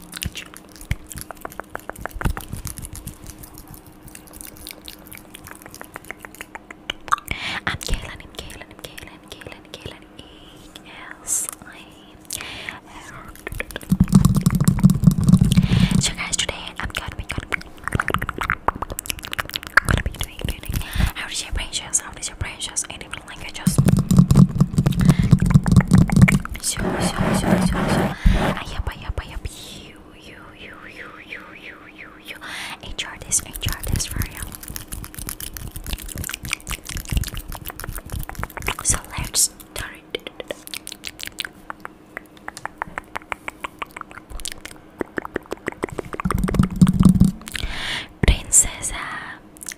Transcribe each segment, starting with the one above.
I'm Kaylin, I'm Kaylin, I'm So guys, today I'm gonna be, gonna be, gonna be doing, doing, how is your precious, and like I just. So, so, so, so, so. Ayap, ayap, ayap. You, you, you, you, you, you, you, you. HR this, HR this for you. So let's start. Princesa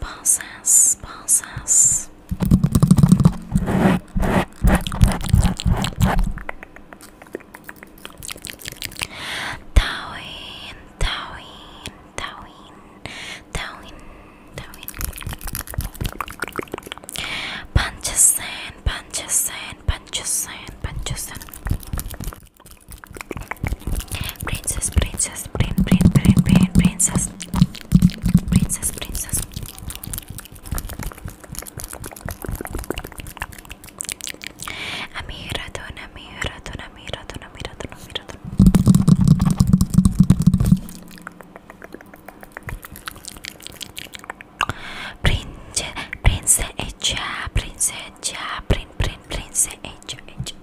pulses, pulses. Tawin, Tawin, Tawin, Tawin, Tawin. Punches in, punches in, Princess, princess, prin, prin, prin, prin, princess, princess, princess. Amiratun, amiratun, amiratun, amiratun, amiratun. Prince, prince, echa, prince, echa, prin, prin, prince, echa, echa.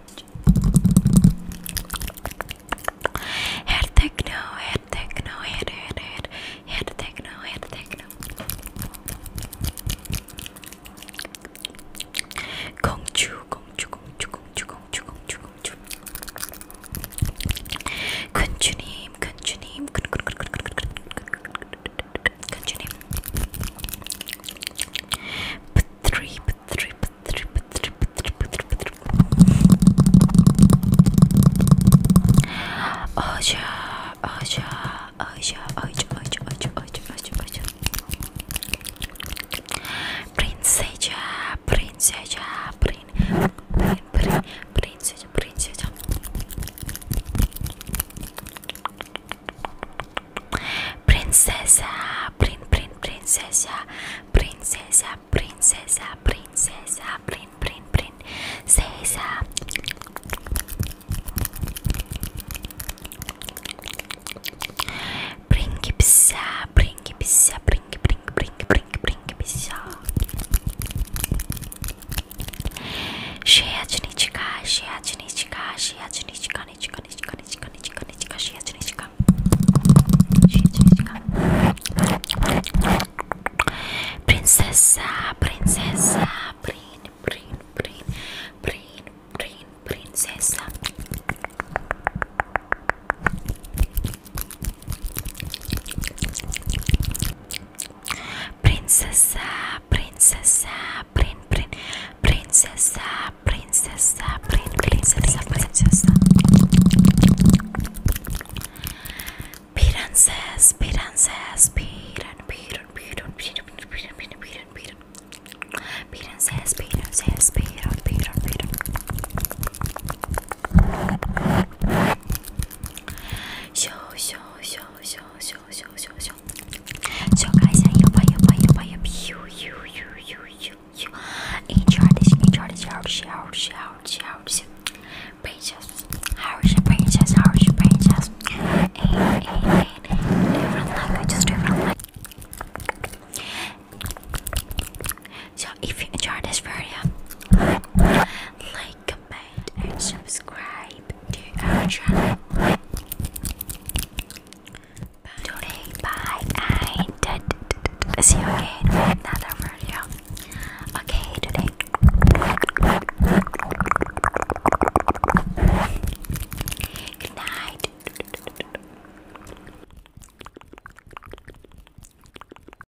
Head techno, head techno, head, head, head, head techno, head techno. Gongchu, gongchu, gongchu, gongchu, gongchu, gongchu, gongchu. Kunchunim, kunchunim, kun kun kun kun kun kun kun kun kun kun kun kun kun kun kun kun kun continue. Three, three, three, three, Oja, oja, oja, oja, oja, oja, oja, oja, oja. Princesa, princesa, prin, prin, prin, princesa, princesa. Princesa, prin, prin, princesa, princesa, princesa, princesa, prin, prin, princesa. Bring pizza, bring pizza, bring, bring, bring, bring, bring pizza. Shechnichka, Shechnichka, Shechnichka, Nichka, Nichka, Nichka, Nichka, Nichka, Shechnichka. Princessa, Princessa, Prin, Prin, Prin, Prin, Prin, Princessa. Princessa, princess, prin, prin, princess, princess, prin, princess, princess, princess, princess, piran, piran, piran, piran, piran, piran, piran, piran, princess, princess, piran, piran, piran. Show, show, show so, princess，好吃 princess，哎哎哎，different like just different like。So if you enjoyed this video, like comment, and subscribe to our channel. Today, bye, see you again with another video. Okay, today. Good night.